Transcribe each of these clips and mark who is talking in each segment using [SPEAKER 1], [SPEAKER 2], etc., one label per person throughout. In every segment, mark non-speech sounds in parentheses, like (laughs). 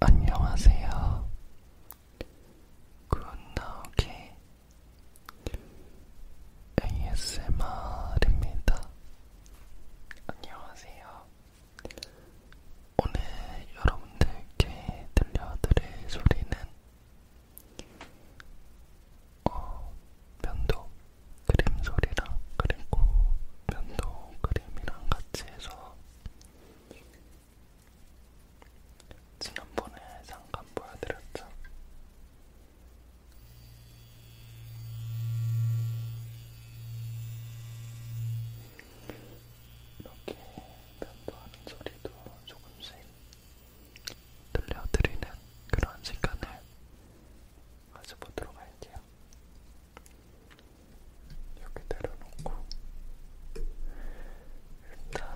[SPEAKER 1] 안녕하세요. 굿나오기 ASMR입니다. 안녕하세요. 오늘 여러분들께 들려드릴 소리는 어, 면도 그림 소리랑 그리고 면도 그림이랑 같이 해서 지난번에 잠깐 보여드렸죠? 이렇게 면도하는 소리도 조금씩 들려드리는 그런 시간을 가져보도록 할게요. 여기 내려놓고 일단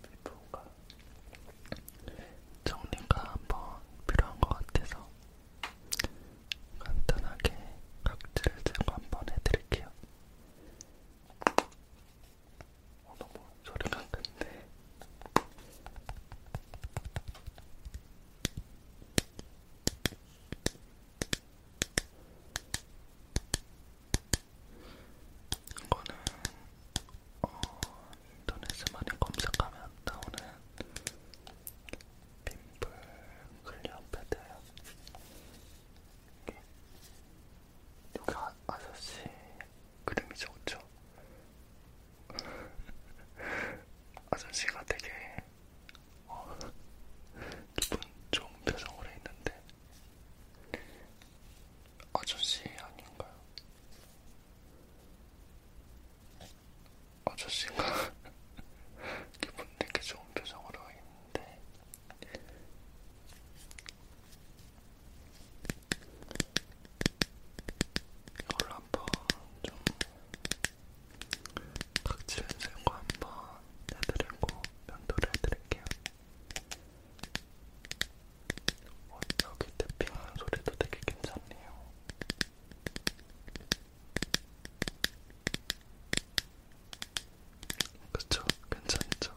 [SPEAKER 1] 좀 피부가 정리가 한번 필요한 것 같아서 간단하게 각질 제거 한번 해드릴게요. 어, 너무 소리가 큰데 이거는 어, 인터넷에 많이 검색하면 나오는 빔플 클리어 패드예요. 여기 아, 아저씨 그림이 좋죠? 아저씨가 되게 어, 기분 좋은 표정으로 있는데 아저씨 아닌가요? 아저씨가 (laughs) 기분 되게 좋은 표정으로 있는데 이걸 한번 좀 각질 제거 한번 해드리고 면도를 해드릴게요. 어, 여기 태핑하는 소리도 되게 괜찮네요. 그쵸? 괜찮죠?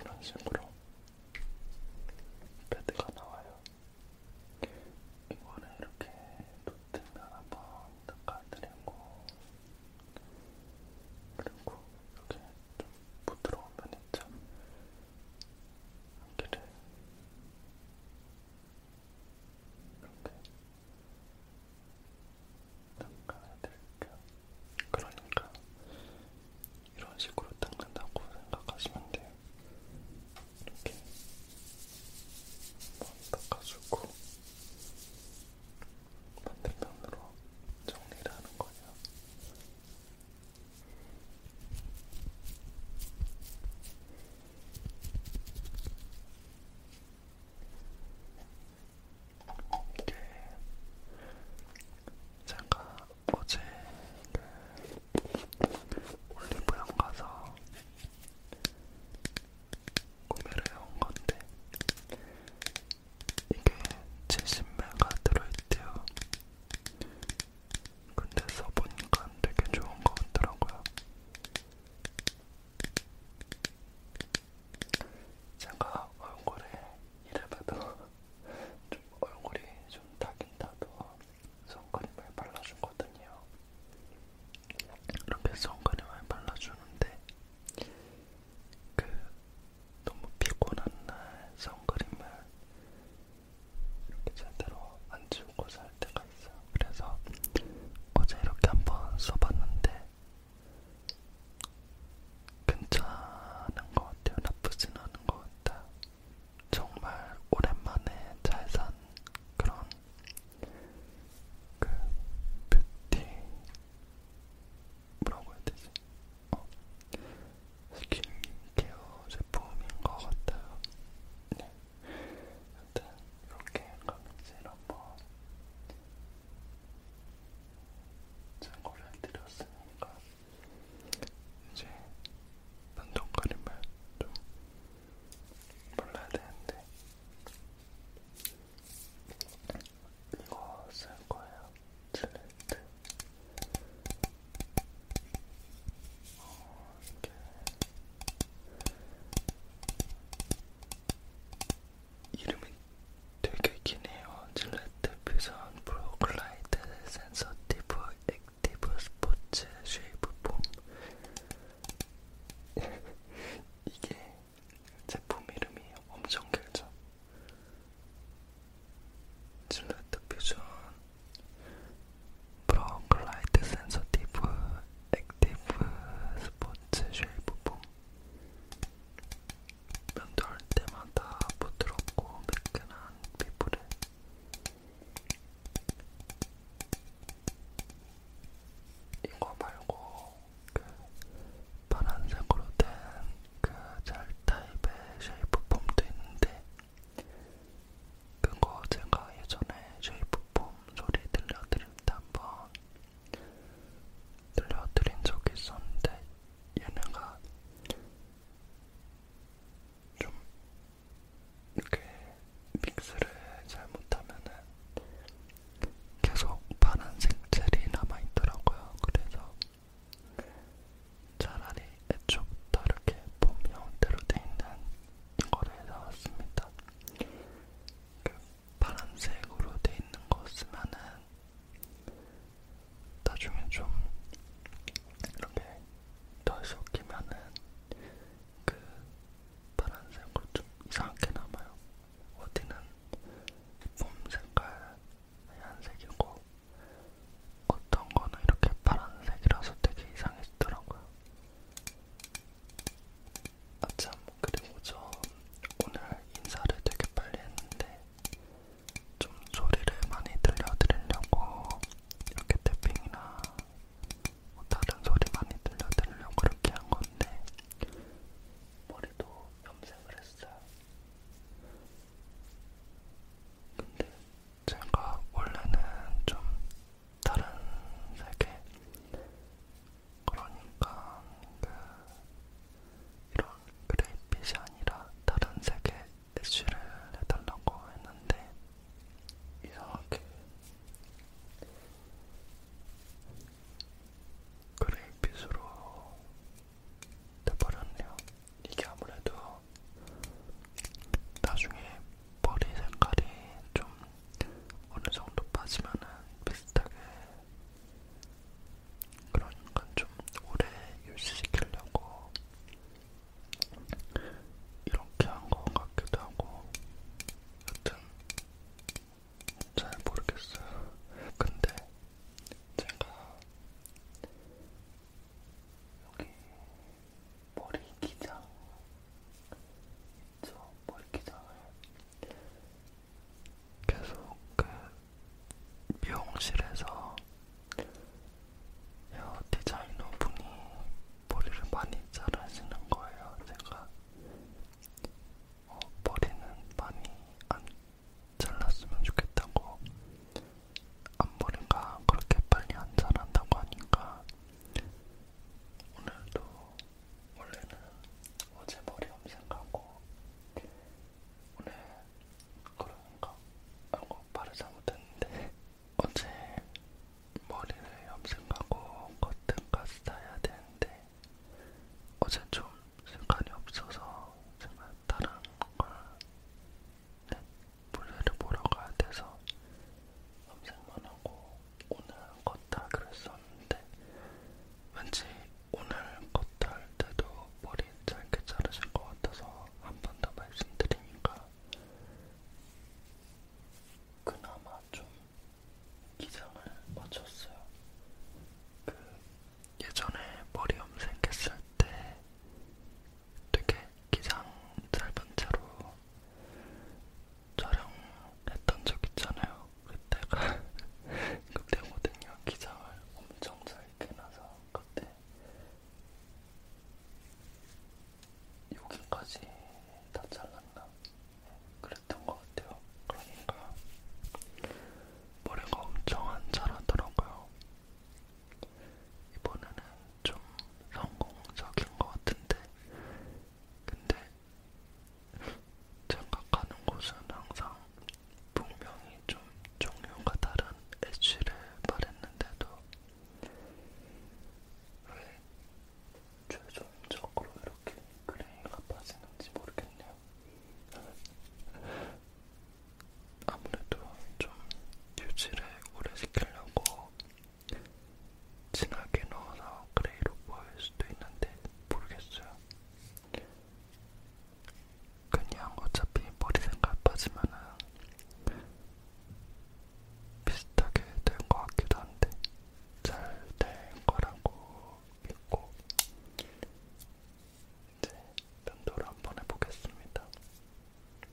[SPEAKER 1] 이런 식으로 패드가 나와요. 이거를 이렇게 놓으면 한번 닦아드리고 그리고 이렇게 좀 부드러운 면 있죠? 여기를 이렇게 닦아야 될까? 그러니까 이런 식으로 닦는다고 생각하시면 돼요. 이렇게 한번 닦아주고 반대편으로 정리를 하는 거예요. 이렇게 이게 제가 어제 그 올리브영 가서 구매를 해온 건데 이게 70메가 들어있대요. 근데 써보니까 되게 좋은 것 같더라고요. 제가 얼굴에 이래봐도 (laughs) 좀 얼굴이 좀 타긴 타도 선크림을 발라주거든요. 이렇게 선크림을 발라주는데 그 너무 피곤한 날 선크림을 이렇게 제대로 안 지우고 살 때가 있어요. 그래서 어제 이렇게 한번 써봤는데 괜찮은 것 같아요. 나쁘진 않은 것 같아요. 정말 오랜만에 잘 산 그런 그 뷰티 뭐라고 해야 되지? 어. 스킨케어 제품인 것 같아요. 네. 여튼 네, 이렇게 각질 한번 제거를 해드렸으니까 이제 반동거림을 좀 발라야 되는데 이거 쓸 거예요. 젤렌트 어, 이렇게 이름이 되게 기네요. 질레트 퓨전 프로글라이드 센서티브 액티브 스포츠 쉐이브 폼 (laughs) 이게 제품 이름이 엄청 길죠. 질레트 퓨전 프로글라이드 센서티브 액티브 스포츠 쉘부품 명절 때마다 부드럽고 매끈한 피부를 이거 말고 그 파란색으로 된 그 젤 타입의 쉐이프폼도 있는데 그거 제가 예전에 쉐이프폼 소리 들려드릴 그때 한번 들려드린 적이 있었는데 얘네가 좀 이렇게 믹스를 잘못하면은 계속 파란색 젤이 남아있더라고요. 그래서 차라리 애초부터 이렇게 봄 형태로 돼 있는 이거를 사왔습니다. 그 파란색으로 돼 있는 거 쓰면은 나중에 좀 이렇게 더 섞이면은 그 파란색으로 좀 이상하게 남아요. 어디는 폼 색깔 하얀색이고 어떤 거는 이렇게 파란색이라서 되게 이상했더라고요. 아참 그리고 저 오늘 인사를 되게 빨리 했는데 좀 소리를 많이 들려드리려고 이렇게 태핑이나 뭐 다른 소리 많이 들려드리려고 그렇게 한 건데 머리도 염색을 했어요. 근데 제가 원래는 좀 다른 세계 그러니까 그 이런 그레이핏이 아니라 다른 세계 애쉬를 해달라고 했는데 이상하게 그레이핏으로 돼버렸네요. 이게 아무래도 나중에 머리 색깔이 좀 어느 정도 빠지면은 비슷하게 그러니까 좀 오래 유지시키려고 이렇게 한 것 같기도 하고 여튼 잘 모르겠어요. 근데 제가 여기 머리 기장, 저 머리 기장을 계속 그 미용실에서 헤어 디자이너 분이 머리를 많이 자르시는 거예요. 제가 어, 머리는 많이 안 잘랐으면 좋겠다고 앞머리가 그렇게 빨리 안 자란다고 하니까 오늘도 원래는 어제 머리 염색하고 오늘 그런가 하고 바르지 못했는데 (laughs) 어제 머리를 염색하고 커튼까지 다야 되는데 어제 좀 시간이 없어서 제가 다른 걸 볼일을 보러 가야 돼서 염색만 하고 오늘 걷다 그랬었는데 왠지 오늘 걷다 할 때도 머리 짧게 자르실 것 같아서 한 번 더 말씀드리니까 그나마 좀 기장을 맞췄어요. 그 예전에 머리 염색했을 때 되게 기상살반 채로 촬영했던 적 있잖아요. 그때가 그때거든요. (laughs) 기장을 엄청 잘게 나서 그때 여기까지 다 잘랐나? 네, 그랬던 것 같아요. 그러니까 머리가 엄청 안 자라더라고요. 이번에는 좀 성공적인 것 같은데, 근데 생각하는 곳은 항상 분명히 좀 종류가 다른 애쉬를 말했는데도 왜 최종적으로 이렇게 그레이가 빠지는지 모르겠네요. 아무래도 좀 유지를 오래 시키려고 진하게 넣어서 그레이로 보일 수도 있는데 모르겠어요. 그냥 어차피 머리 생각 빠지면은 비슷하게 된 것 같기도 한데 잘된 거라고 믿고 이제 면도를 한번 해보겠습니다.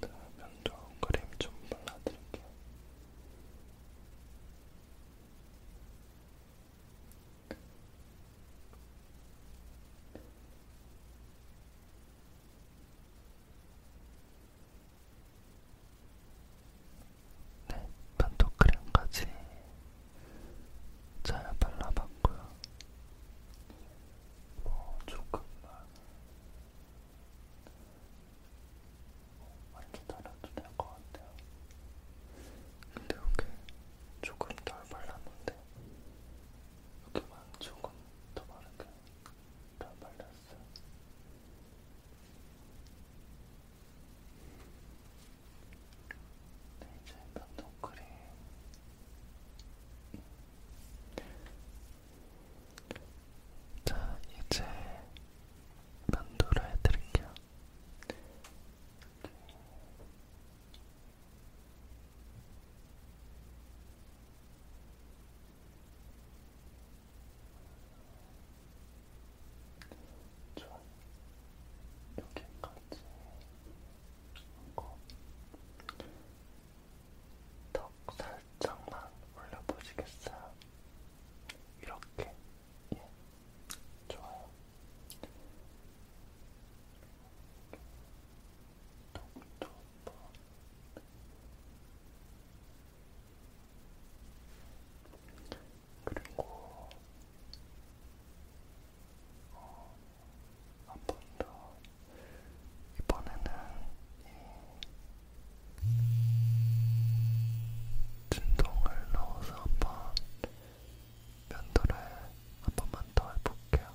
[SPEAKER 1] 면도 크림 좀 발라드릴게요. 네, 반토크림까지 잘 발라봤고요. 뭐 조금만 완전 달아도 될 것 같아요. 근데 여기 조금 덜 발랐는데 여기만 조금 더 바르게 덜 발랐어요. 이제 면도 크림 자 이제 면도를 해드릴게요. 이렇게. 자, 여기까지 하고 턱 살짝만 올려보시겠어요? 이렇게 예, 좋아요. 톡톡 그리고 어, 한번 더 이번에는 이 진동을 넣어서 한번 면도를 한 번만 더 해볼게요.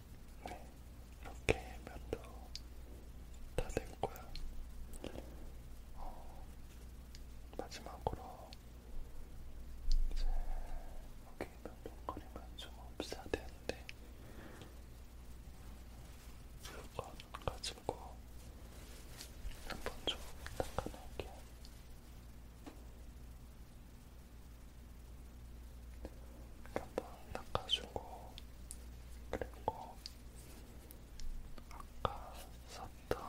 [SPEAKER 1] 네, 이렇게 면도 다 됐고요. 어, 마지막으로 이제 여기 면동거리만 좀 없애야 되는데 이거 가지고 한번 좀 닦아놓을게요. 한번 닦아주고 그리고 아까 썼던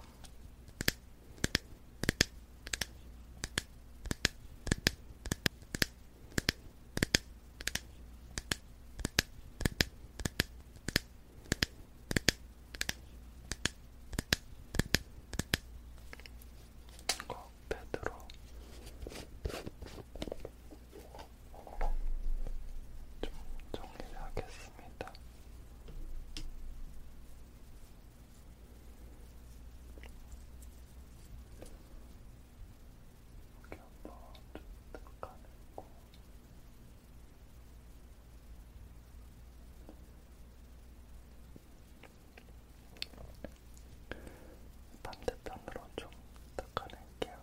[SPEAKER 1] 이거 패드로 좀 정리를 하겠습니다. 이렇게 한번 뜯어가고 반대편으로 좀 닦아낼게요.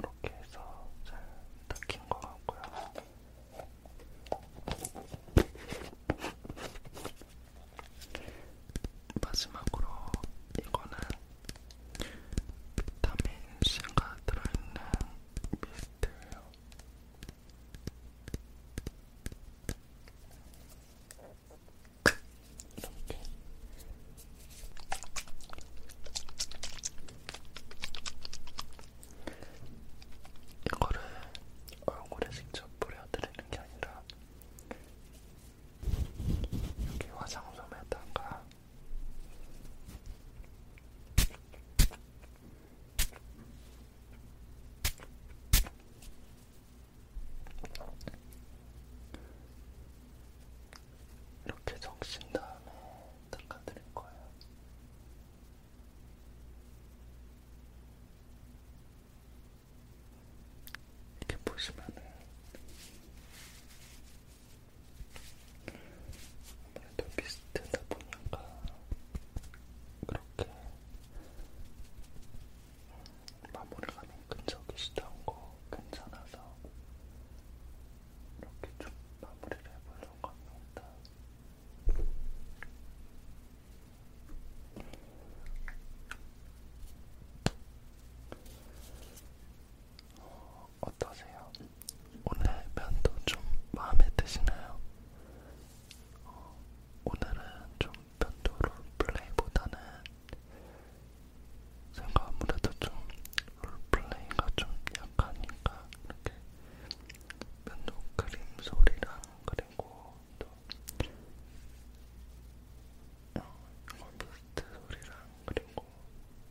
[SPEAKER 1] 이렇게 해서 잘 닦인 것 같고요. 마지막으로 이거는 비타민 C가 들어있는 미스트예요. 이렇게. 이거를 얼굴에 직접 뿌려드리는 게 아니라 여기 화장솜에다가 이렇게 적신 다음에 닦아드릴 거예요. 이렇게 보시면은 아무래도 비슷하다 보니까 그렇게 마무리가 좀 끈적이시던 거 괜찮아서 이렇게 좀 마무리를 해보려고 합니다. 어, 어떠세요? 오늘 면도 좀 마음에 드시나요? 어, 오늘은 좀 면도로 플레이보다는 제가 아무래도 좀 롤플레이가 좀 약하니까 이렇게 면도 크림 소리랑 그리 되고 또 원부스트 어, 어 소리랑 그리고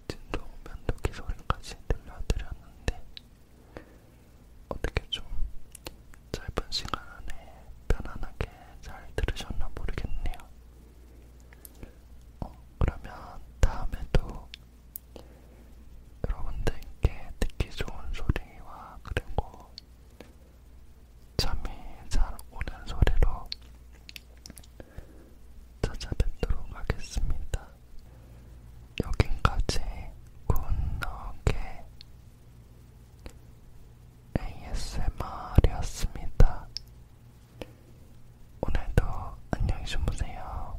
[SPEAKER 1] 진동 면도기 소리까지 들려드렸는데 어떻게 좀 짧은 시간 안에 편안하게 잘 들으셨나 모르겠네요. 어, 그러면 다음에도 여러분들께 듣기 좋은 소리와 그리고 잠이 잘 오는 소리로 찾아뵙도록 하겠습니다. 여긴까지 굿노게 ASMR이었습니다. 오늘도 안녕히 주무세요.